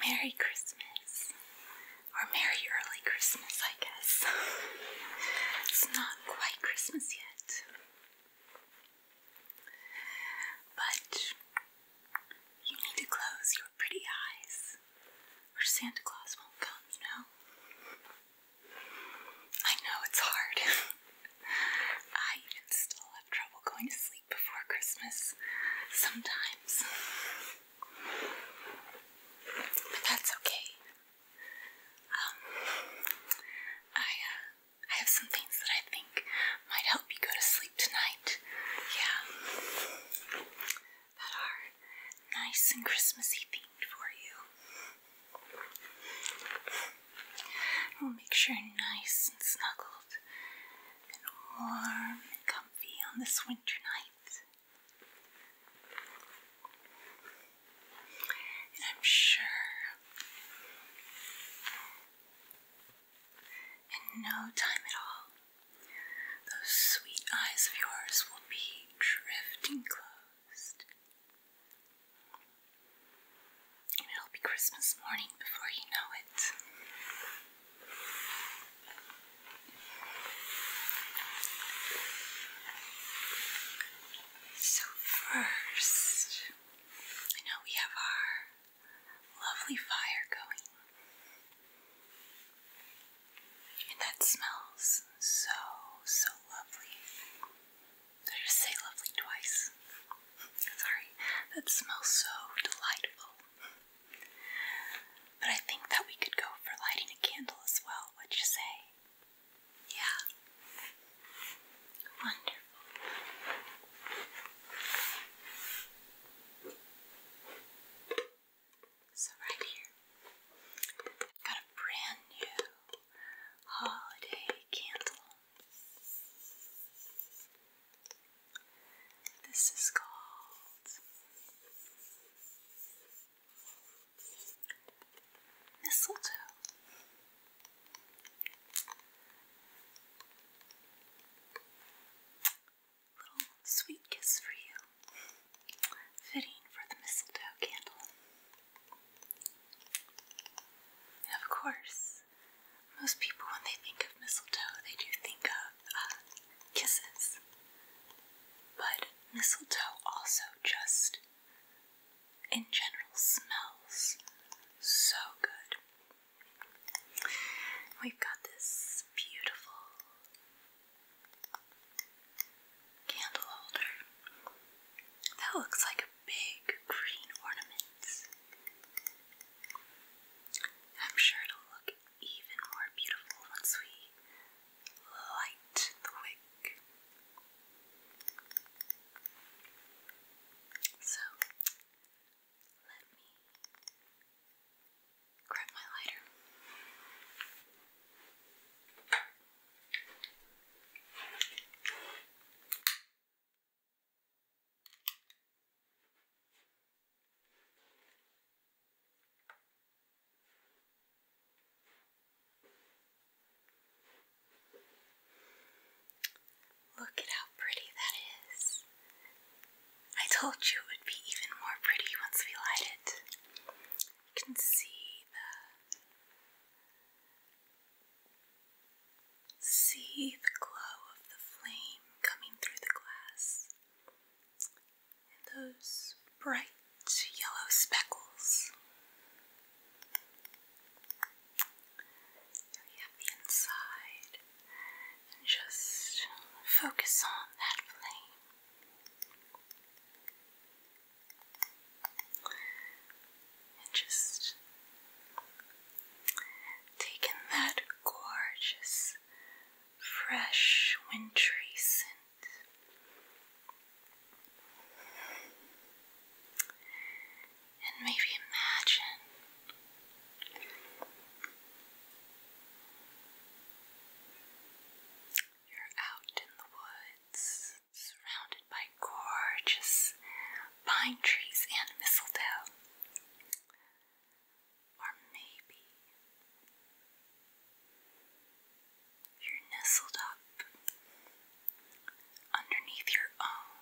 Merry Christmas. Or Merry Early Christmas, I guess. it's not quite Christmas yet. But you need to close your pretty eyes, or Santa Claus won't come, you know? I know it's hard. I even still have trouble going to sleep before Christmas sometimes. But that's okay. Um, I, uh, I have some things that I think might help you go to sleep tonight. Yeah. That are nice and Christmassy themed for you. We'll make sure nice and snuggled and warm and comfy on this winter night. And I'm sure in no time at all, those sweet eyes of yours will be drifting closed it'll be Christmas morning before you know it. So, first, I know we have our lovely fire going, and that smells so, so lovely. So just say lovely twice. Sorry, that smells so delightful. But I think that we could go for lighting a candle as well, would you say? Yeah. Wonderful. So, right here, i got a brand new holiday candle. This is called mistletoe. Little sweet kiss for you, fitting for the mistletoe candle. And of course, most people, when they think of mistletoe, they do think of uh, kisses. But mistletoe also just, in general, smells so good. We've got this beautiful candle holder that looks like big green ornaments. I'm sure it'll look even more beautiful once we light the wick. So, let me grab my lighter. Look at how pretty that is. I told you it would be even more pretty once we light it. You can see the See the glow of the flame coming through the glass, and those bright yellow speckles. Here we have the inside, and just focus on that flame. And just taking that gorgeous, fresh, wintry scent and maybe imagine. You're out in the woods surrounded by gorgeous pine trees and mistletoe. Or maybe you're nestled up underneath your own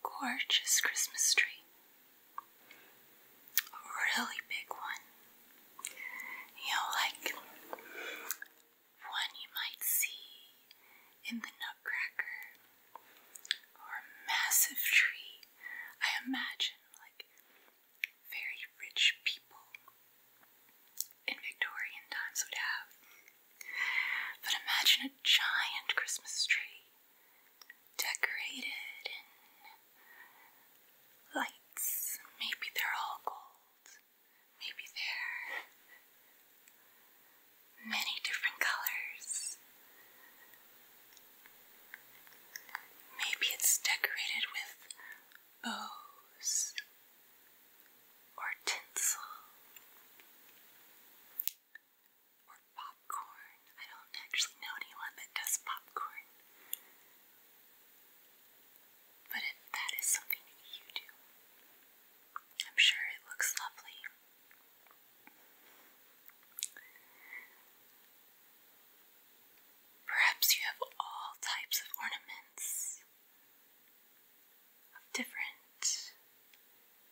gorgeous Christmas tree. A really big one. You know, like one you might see in the Nutcracker, or a massive tree. I imagine like very rich people in Victorian times would have. But imagine a giant Christmas tree decorated in lights. Maybe they're all gold. Maybe there. Many different colors. Maybe it's decorated with bows or tinsel or popcorn. I don't actually know anyone that does popcorn. But if that is something you do, I'm sure it looks lovely. Perhaps you have all types of ornaments of different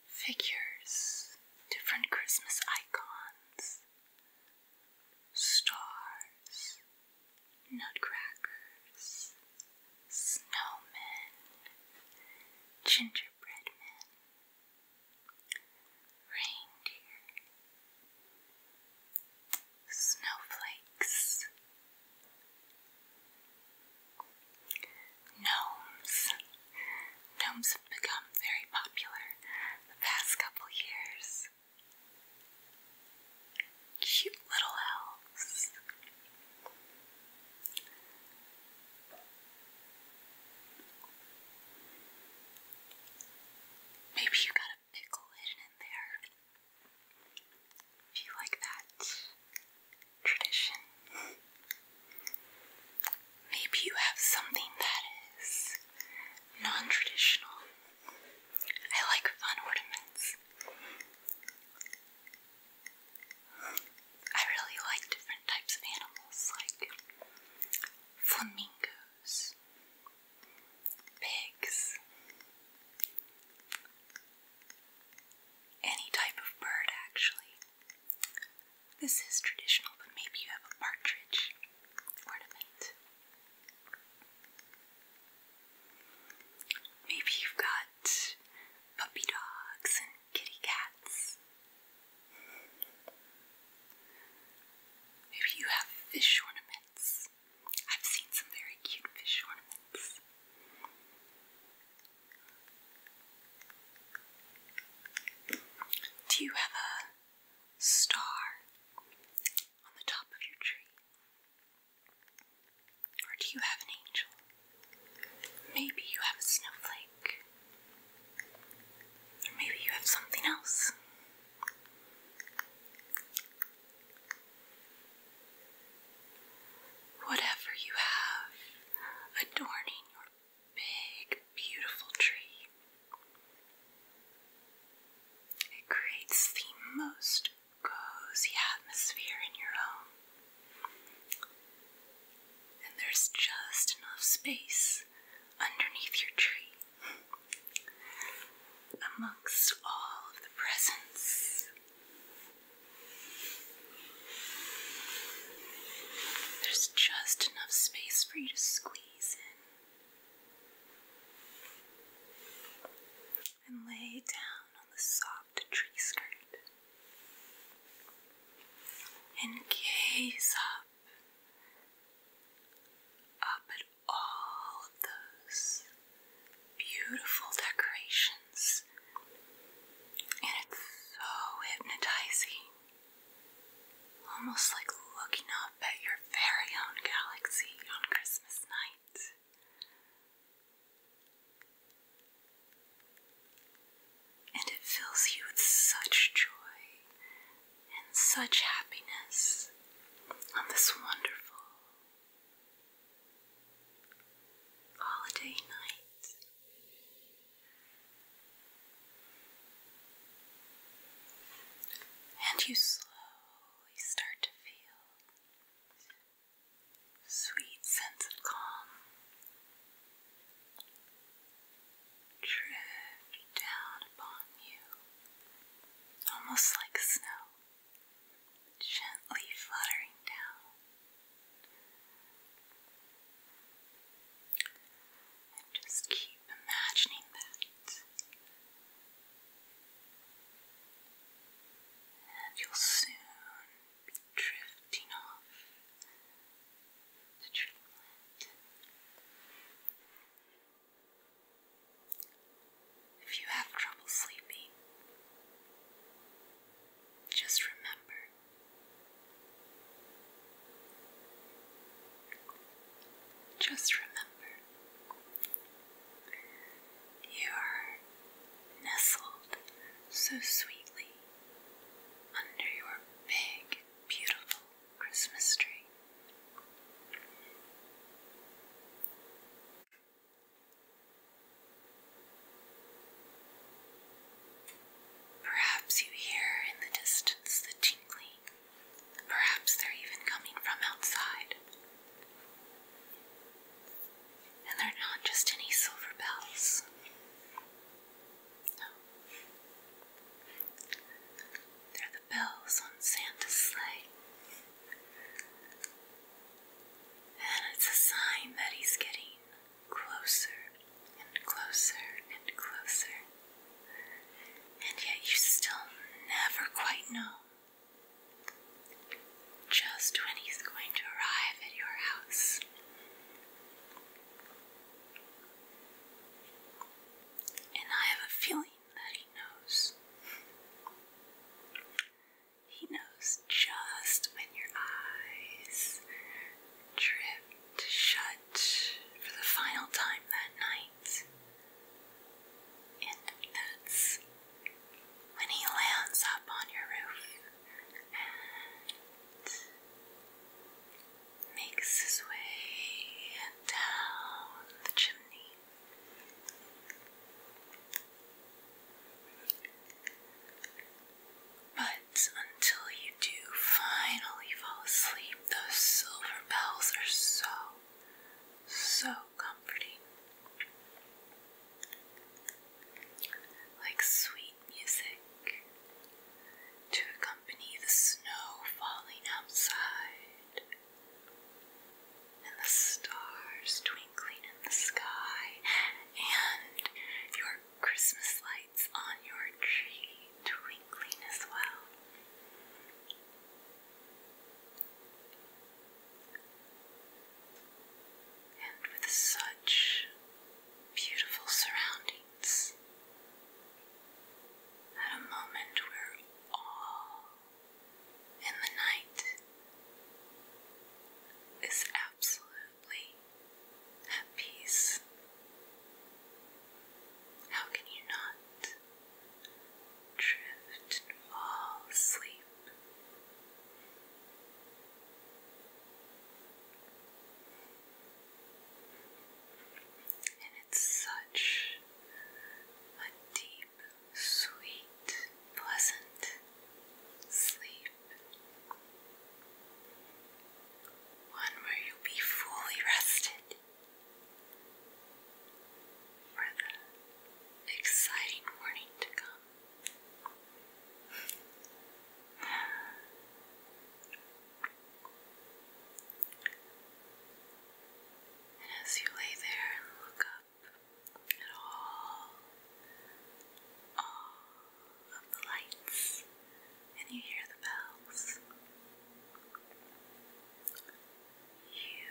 figures, different Christmas icons, stars, nutcrackers, snowmen, gingerbread men, reindeer, snowflakes, gnomes. Gnomes have become very popular the past couple years. Cute little elves. Maybe you got a pickle hidden in there. If you like that tradition. Maybe you have something that is non traditional. I like fun ornaments. I really like different types of animals like flamingos, pigs, any type of bird actually. This is traditional, but maybe you have a partridge ornament. Maybe you've got puppy dogs and kitty cats. Maybe you have fish ornaments. I've seen some very cute fish ornaments. Do you have a star on the top of your tree? Or do you have an angel? Maybe you have a snowflake. Or maybe you have something else. Whatever you have adorning your big, beautiful tree, it creates the most cozy atmosphere in your home. And there's just enough space underneath your tree. Amongst all of the presents, there's just enough space for you to squeeze in and lay down on the soft tree skirt and gaze up, up at all of those beautiful decorations. And it's so hypnotizing, almost like looking up at your very own galaxy on Christmas night. And it fills you with such joy and such happiness on this wonderful holiday night. And you slowly start to feel sweet sense of calm. Drift down upon you, almost like snow, gently fluttering down. And just keep imagining that and you'll soon be drifting off to dreamland. If you have trouble sleeping, just remember just remember you are nestled so sweetly under your big, beautiful Christmas tree. Perhaps you hear in the distance the tinkling Perhaps they're even coming from outside. And they're not just any silver bells. No. They're the bells on Santa's sleigh. And it's a sign that he's getting closer and closer and closer. And yet you still never quite know just when he's going to arrive at your house. And I have a feeling that he knows. He knows just when your eyes drift shut for the final time that night. And that's when he lands up on your roof and makes his way down the chimney. But until you do finally fall asleep, those silver bells are so so comforting. Like sweet music to accompany the snow falling outside and the stars twinkling in the sky and your Christmas lights on your tree twinkling as well and with such beautiful surroundings. At a moment we all in the night is absolutely at peace. How can you not? drift and fall asleep. And it's such a deep, sweet, pleasant sleep. One where you'll be fully rested for the exciting morning to come. And as you lay there and look up at all, all of the lights, and you hear the bells, you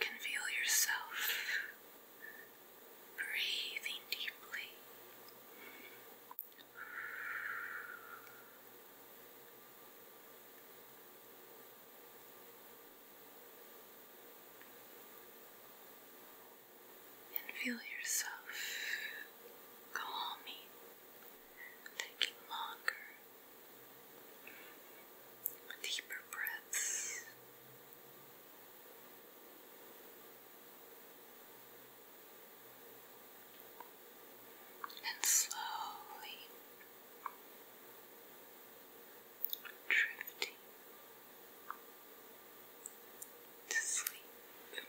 can yourself breathing deeply. And feel yourself calming, taking longer Deeper breaths. And slowly drifting to sleep.